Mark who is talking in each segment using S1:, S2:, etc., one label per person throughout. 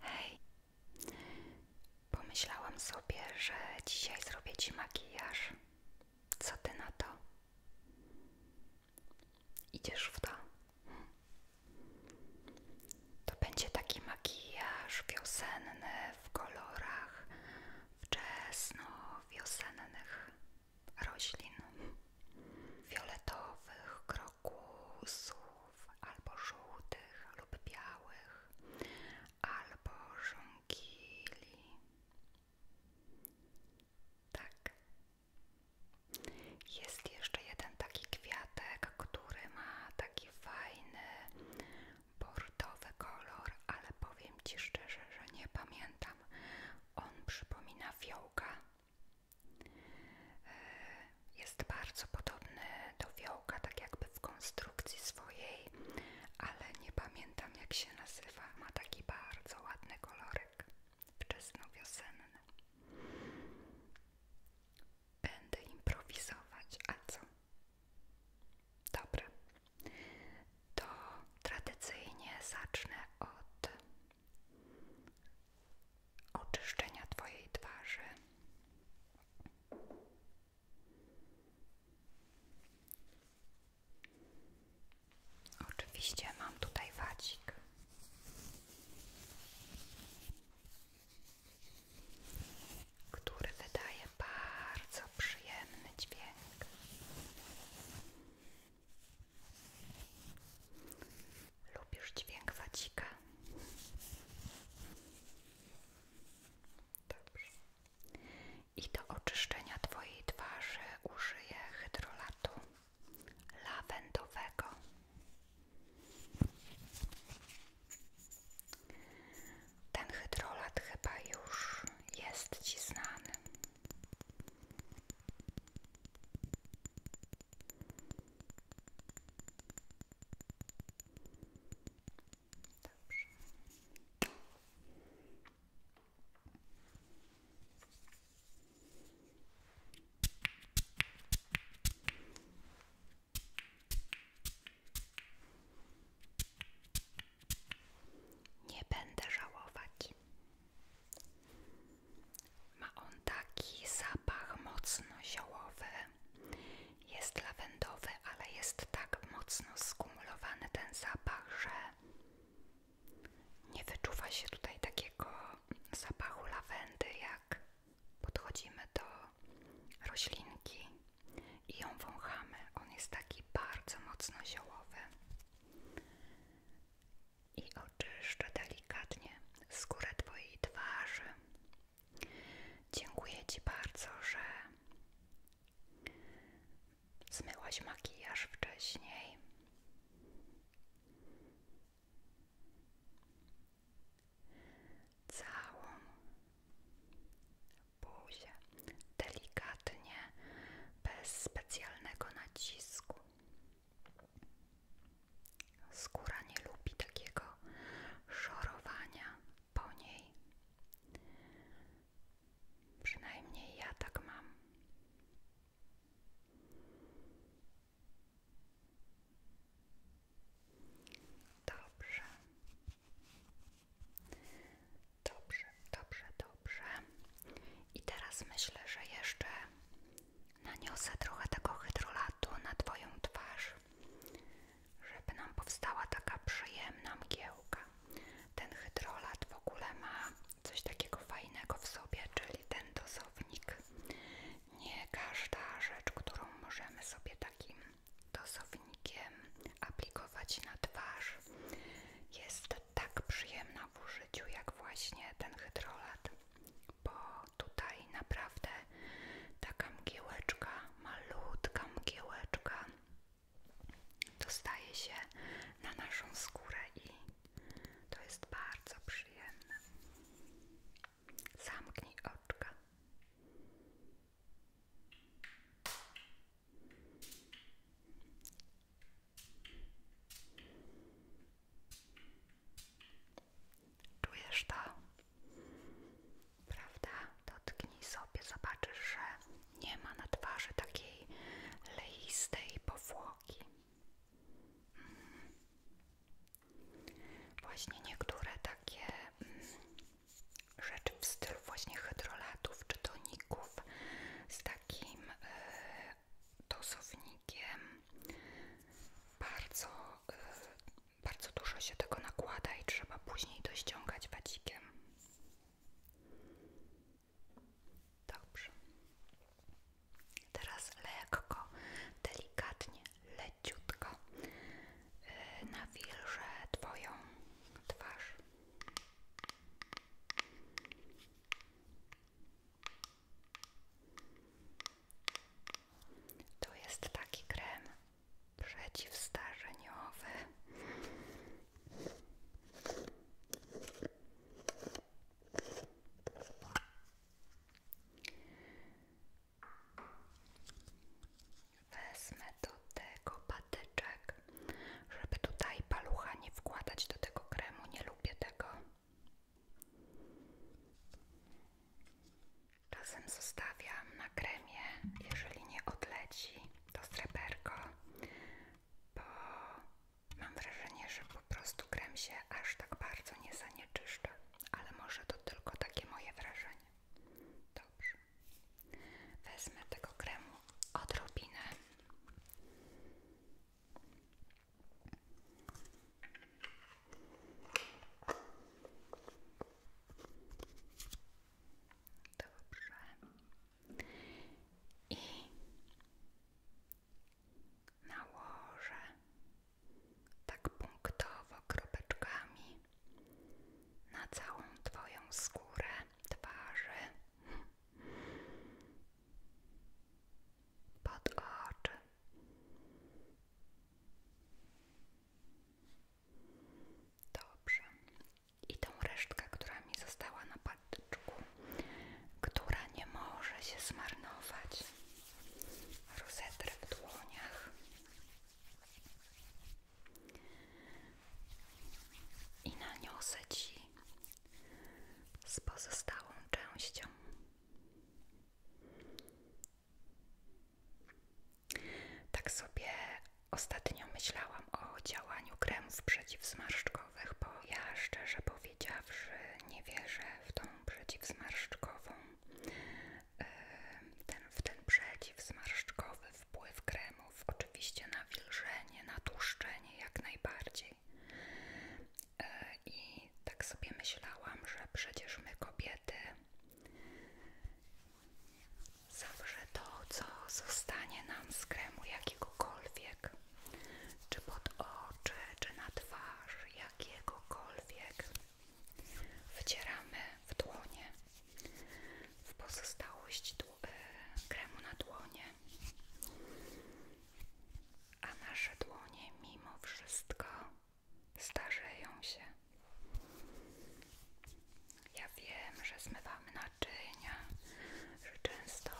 S1: Hej, pomyślałam sobie, że dzisiaj zrobię ci makijaż. Co ty na to? Idziesz w to? To będzie taki makijaż wiosenny w kolorach wczesno-wiosennych roślin, fioletowych, krokusów, albo żółtych lub białych, albo żonkili. Tak. Jest jeszcze jeden taki kwiatek, który ma taki fajny, bordowy kolor, ale powiem Ci szczerze, że nie pamiętam. On przypomina fiołka, E, jest bardzo podobny do wiołka, tak jakby w konstrukcji swojej, ale nie pamiętam jak się nazywa. Ma taki bardzo ładny kolorek, wczesnowiosenny. Będę improwizować, a co? Dobre. to tradycyjnie zacznę od oczyszczenia Twojej twarzy. Oczywiście mam tutaj wadzik. Który wydaje bardzo przyjemny dźwięk. Lubisz dźwięk wacika? I do oczyszczenia Twojej twarzy użyję hydrolatu lawendowego. Ten hydrolat chyba już jest Ci znany. Nie będę żałować. Ma on taki zapach mocno ziołowy. Jest lawendowy, ale jest tak mocno skumulowany ten zapach, że nie wyczuwa się tutaj takiego zapachu lawendy, jak podchodzimy do roślinki i ją wąchamy. On jest taki bardzo mocno ziołowy i oczyszczę delikatnie skórę Twojej twarzy. Dziękuję Ci bardzo, że zmyłaś makijaż wcześniej. Całą buzię delikatnie, bez specjalnego nacisku. Skóra nie lubi takiego szorowania po niej. Przynajmniej ja tak mam. Dobrze. Dobrze, dobrze, dobrze. Dobrze. I teraz myślę, że jeszcze naniosę trochę tego hydrolatu na Twoją twarz, żeby nam powstała taka przyjemna mgiełka. Ten hydrolat w ogóle ma coś takiego fajnego w sobie, czyli ten dosownik. Nie każda rzecz, którą możemy sobie takim dosownikiem aplikować na twarz, jest tak przyjemna w użyciu jak właśnie ten hydrolat, bo tutaj naprawdę taka mgiełeczka, malutka mgiełeczka dostaje się na naszą skórę i to jest bardzo przyjemne. Zamknij oczka. Czujesz to? Prawda? Dotknij sobie, zobaczysz, że nie ma na twarzy takiej leistej powłoki. Mhm. Właśnie niektóre takie mm, rzeczy w stylu właśnie hydrolatów czy toników z takim y, dosownikiem bardzo, y, bardzo dużo się tego nakłada i trzeba później dościągać ściągać Dobrze. Teraz lekko, delikatnie, leciutko y, nawilżę Twoją twarz. To jest taki krem przeciwstarzeniowy. Wezmę do tego patyczek żeby tutaj palucha nie wkładać do tego kremu, nie lubię tego. Czasem zostawiam na kremie, jeżeli nie odleci to sreberko, bo mam wrażenie, że po prostu krem się aż tak bardzo nie zanieczyszcza, ale może to tylko takie moje wrażenie. Dobrze. Wezmę tego kremu odrobinę Dobrze. I nałożę tak punktowo kropeczkami na całą Twoją skórę twarzy pod oczy. Dobrze. I tą resztkę, która mi została na patyczku, która nie może się zmarnować. Rozetrę w dłoniach. I naniosę Ci z pozostałą częścią. Tak sobie ostatnio myślałam o działaniu kremów przeciwzmarszczkowych, bo ja szczerze powiedziawszy nie wierzę w tą przeciwzmarszczkową, e, ten, w ten przeciwzmarszczkowy wpływ kremu oczywiście na wilżenie, na tłuszczenie jak najbardziej. E, I tak sobie myślałam, że przecież my kobiety zawsze to, co zostanie nam z kremu jakiegokolwiek, czy pod oczy, czy na twarz, jakiegokolwiek, wcieramy w dłonie. W pozostałość dłoni kremu na dłonie. A nasze dłonie mimo wszystko starzeją się. Ja wiem, że zmywamy naczynia, że często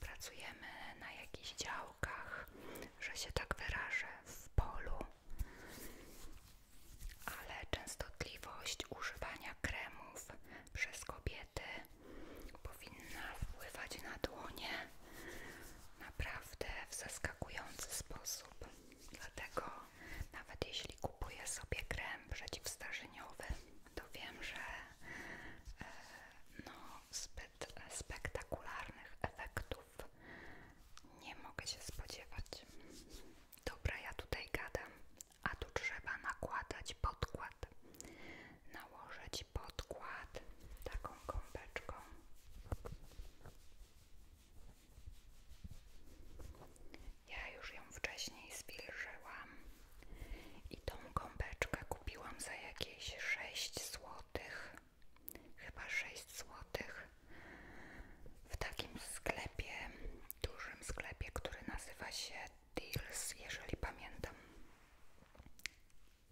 S1: pracujemy na jakichś działkach, że się tak wyrażę w polu, ale częstotliwość używania kremów przez kobiety powinna wpływać na dłonie naprawdę w zaskakujący sposób. Dlatego nawet jeśli kupuję sobie krem przeciwstarzeniowy, to wiem, że e, no, zbyt spektakularnych efektów nie mogę się spodziewać. Dobra, ja tutaj gadam a tu trzeba nakładać podkład. Nałożyć podkład taką kąpeczką. Ja już ją wcześniej zwilżyłam i tą gąbeczkę kupiłam za jakieś 6 zł, chyba 6 zł w takim sklepie, dużym sklepie, który nazywa się Red Deals, jeżeli pamiętam.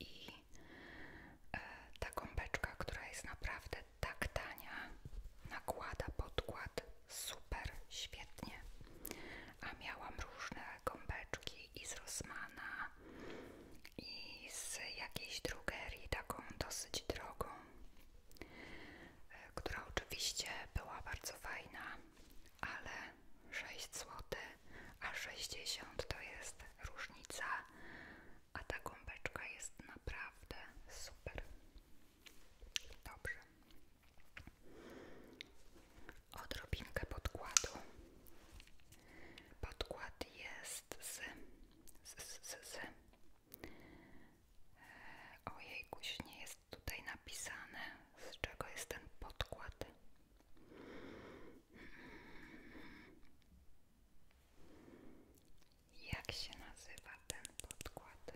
S1: I e, ta kąpeczka, która jest naprawdę tak tania, nakłada podkład super świetnie. A miałam różne gąbeczki, i z Rossmana, i z jakiejś drugerii, taką dosyć drogą, e, która oczywiście była bardzo fajna, ale 6 zł, a 60 to jest różnica, a ta gąbeczka jest naprawdę super. Dobrze. Odrobinkę podkładu. Podkład jest z. z, z, z, z. Ojejkuś, nie jest tutaj napisane, z czego jest ten podkład. Jak się nazywa ten podkład?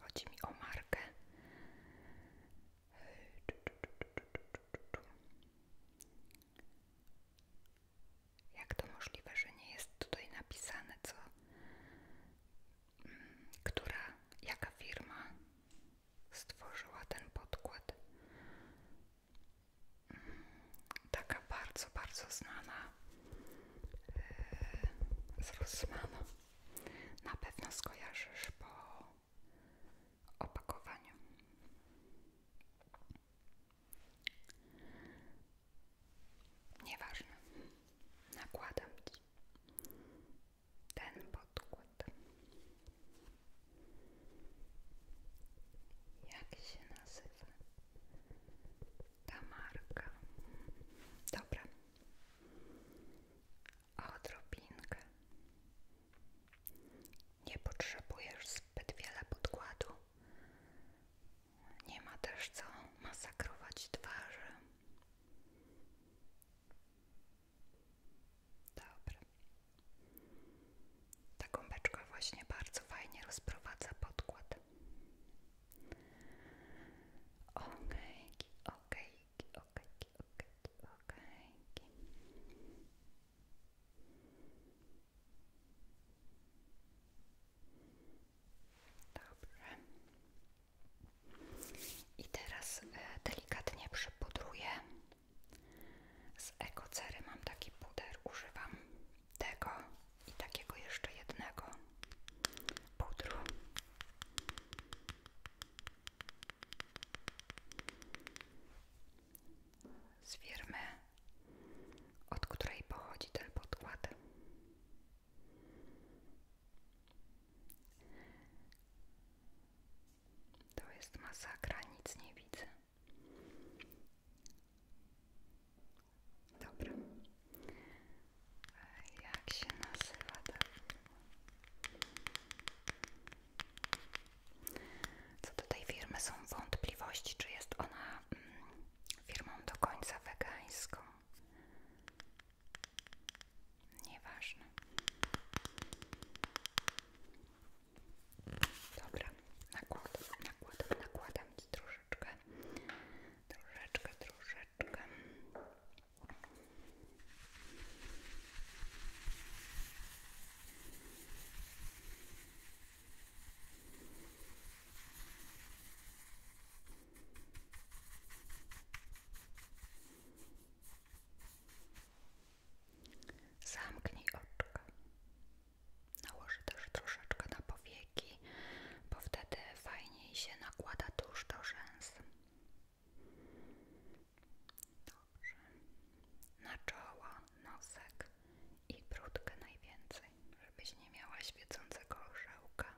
S1: Chodzi mi o markę. Jak to możliwe, że nie jest tutaj napisane, co, która, jaka firma stworzyła ten podkład. Taka bardzo, bardzo znana yy, z Na pewno skojarzysz po opakowaniu. Nieważne. Nakładam ten podkład. Jak się nazywa ta marka? Dobra. Odrobinkę. Nie potrzebujesz zbyt wiele podkładu. Nie ma też co masakrować twarzy. Dobra. Ta gąbeczka właśnie bardzo fajnie rozprowadza podkład. Okejki, okejki, okejki, okejki, okejki. Dobrze. I teraz e, delikatnie przypudruję. Z ekocery mam taki puder, używam tego i takiego jeszcze jednego pudru. Z firmy, od której pochodzi ten podkład. To jest masakra, nic nie widzę. Dobra. Jak się nazywa ta Co do tej firmy są wątpliwości, czy jest ona mm, firmą do końca wegańską. Nieważne. Dobra, nakładam, nakładam, nakładam ci troszeczkę, troszeczkę, troszeczkę. Zamknij oczka. Nałożę też troszeczkę na powieki, bo wtedy fajniej się nakłada tuż do rzęs. Dobrze. Na czoła, nosek i brudkę najwięcej, żebyś nie miała świecącego orzełka.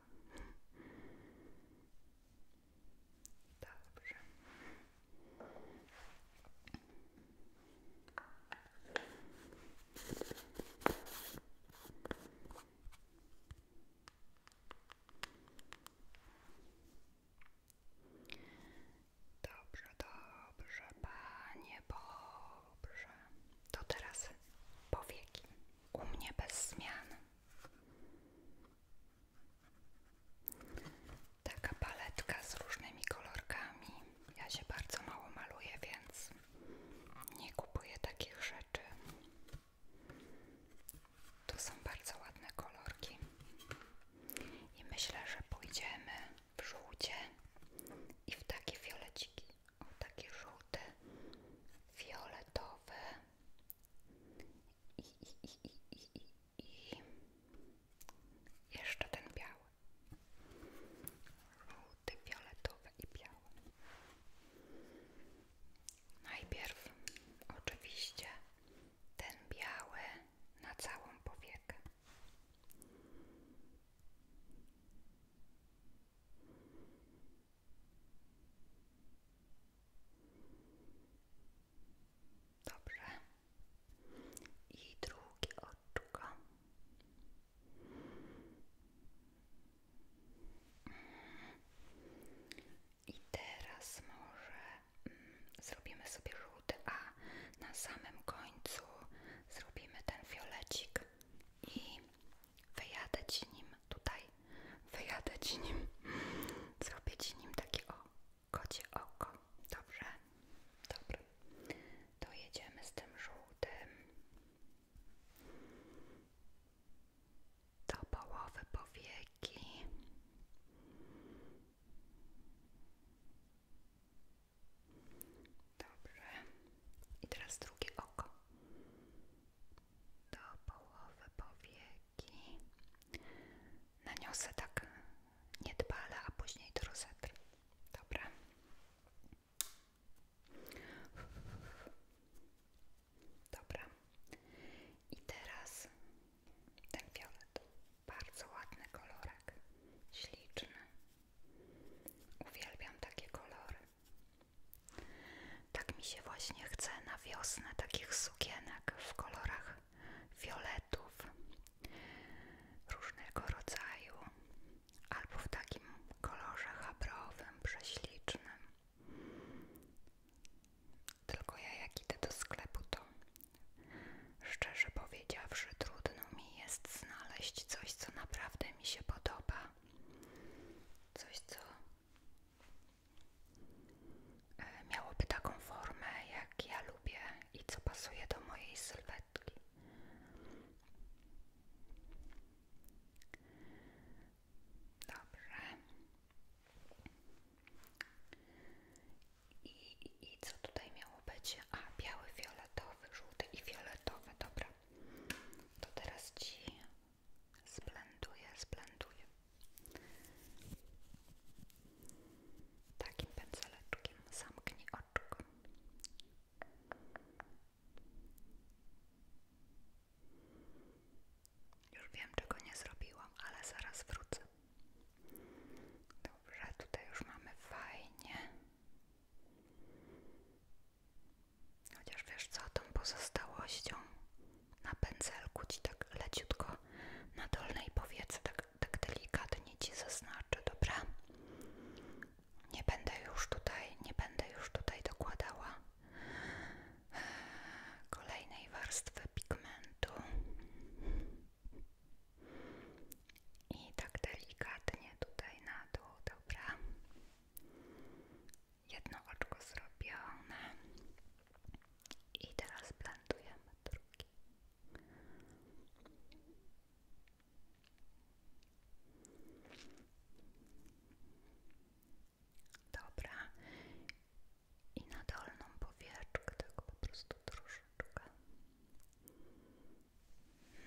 S1: Dobrze. Dobrze, dobrze, panie, dobrze. To teraz powieki u mnie bez zmian. Taka paletka z różnymi kolorkami. Ja się bardzo mało maluję, więc nie kupuję takich rzeczy. to są bardzo ładne kolorki. I myślę, że pójdziemy w żółcie i w takie fioleciki o taki żółty, fioletowy i jeszcze ten biały, żółty, fioletowy i biały. Najpierw oczywiście ten biały na całą powiekę. Dobrze. I drugi oczko. I teraz może mm, zrobimy sobie żółty, a na samym końcu zrobimy ten fiolecik i Wyjadę ci nim tutaj, wyjadę ci nim, zrobię ci nim takie o kocie oko. Dobrze, dobra. To z tym żółtym. Do połowy powieki. Dobrze. I teraz drugie oko do połowy powieki naniosę tak niedbale, a później do Dobra. Dobra. I teraz ten fiolet. Bardzo ładny kolorek. Śliczny. Uwielbiam takie kolory. Tak mi się właśnie chce na wiosnę takich sukienek w kolorach fioletów różnego rodzaju, albo w takim kolorze chabrowym, prześlicznym. Tylko ja jak idę do sklepu, to szczerze powiedziawszy, trudno mi jest znaleźć coś, co naprawdę mi się podoba Coś, co e, miałoby taką formę, jak ja lubię i co pasuje do mojej sylwetki. Dobrze. I, I co tutaj miało być? A, biały, fioletowy, żółty i fioletowy, dobra to teraz ci zblenduję, zblenduję takim pędzeleczkiem zamknij oczko już wiem czego nie zrobiłam, ale zaraz wrócę dobrze, tutaj już mamy fajnie Chociaż wiesz co, tą pozostałością na pędzelku ci tak leciutko na dolnej powiece, tak, tak delikatnie ci zaznaczę, dobra? Nie będę już tutaj, nie będę już tutaj dokładała eee, kolejnej warstwy pigmentu. I tak delikatnie tutaj na dół, dobra? Jedno oczko zrobione i teraz blendujemy drugi. Dobra. I na dolną powieczkę, tak po prostu troszeczkę.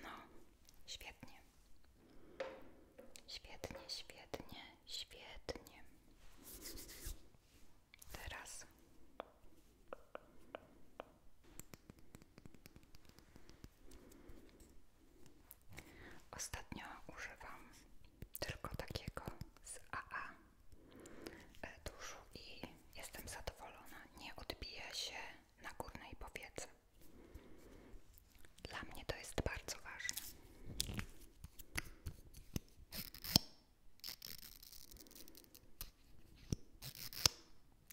S1: No, świetnie. Świetnie, świetnie, świetnie. Teraz. Ostatnio używam tylko takiego z AA e, duszu i jestem zadowolona. Nie odbija się na górnej powiece. Dla mnie to jest bardzo ważne.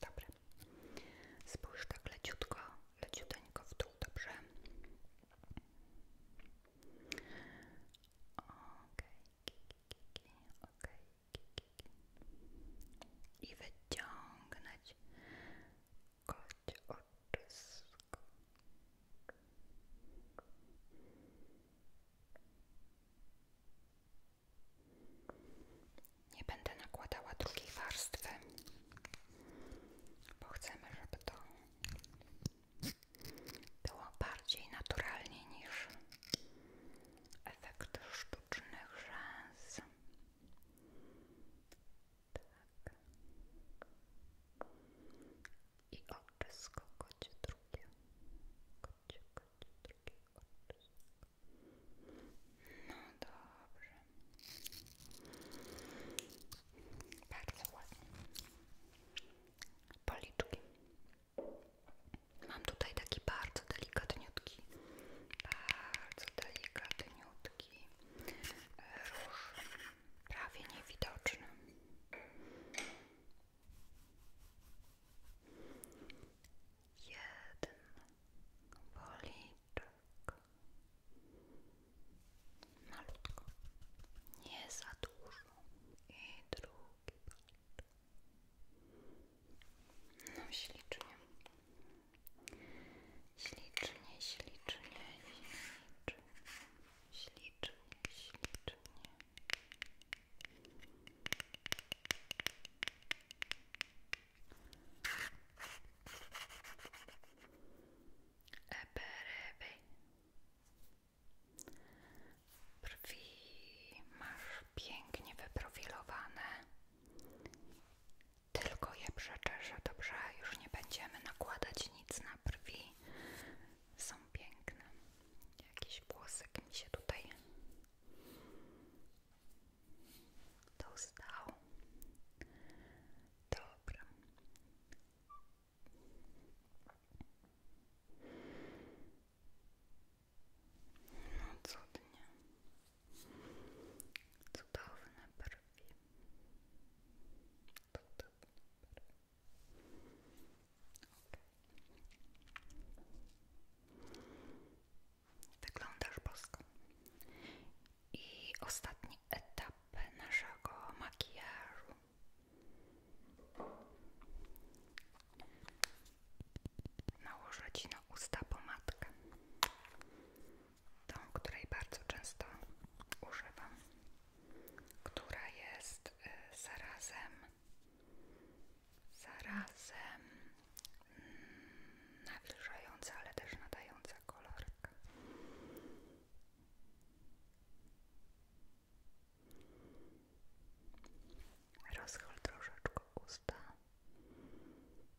S1: Dobra. Spójrz tak leciutko, leciuteńko w dół, dobrze? Okej, okay. okej. Okay. I wyciągnąć nie będę nakładała drugiej warstwy bo chcemy, żeby to było bardziej naturalnie niż efekt sztucznych rzęs tak. I oczysko drugie. Kocie, No dobrze. Bardzo ładnie. Policzki. Mam tutaj taki bardzo delikatniutki. Bardzo delikatniutki słodki róż, prawie niewidoczny. Jeden policzek. Malutko. Nie za dużo. I drugi no ślicznie. Ślicznie, ślicznie, ślicznie, ślicznie, ślicznie. Ebereby. Brwi masz pięknie wyprofilowane tylko je przeczeszę, dobrze? Już nie będziemy nakładać nic na brwi. Są piękne. Jakiś włosek mi się tutaj dostał. Dobra. No cudnie. Cudowne brwi. Cudowne brwi. bosko. I ostatni etap naszego makijażu. na Ci na usta pomadkę, tą, której bardzo często używam, która jest y, zarazem, zarazem mm, nawilżająca, ale też nadająca kolorek. Rozchyl troszeczkę usta no i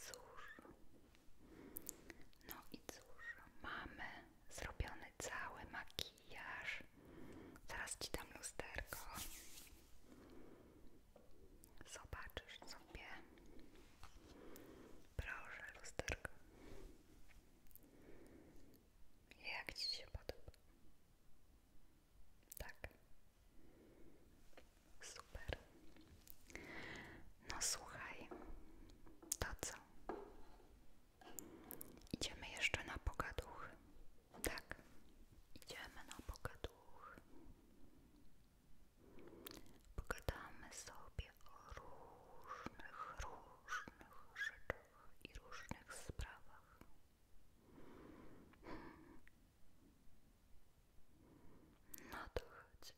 S1: cóż, no i cóż, mamy zrobiony cały makijaż makijaż. Zaraz ci dam lusterko. Zobaczysz sobie. Proszę, lusterko. Jak ci się podoba? Tak. Super. No słuchaj, to co? Idziemy jeszcze na pogaduch. Tak, idziemy na pogaduch. Pogadamy sobie o różnych, różnych rzeczach i różnych sprawach. Hmm. No to chodź.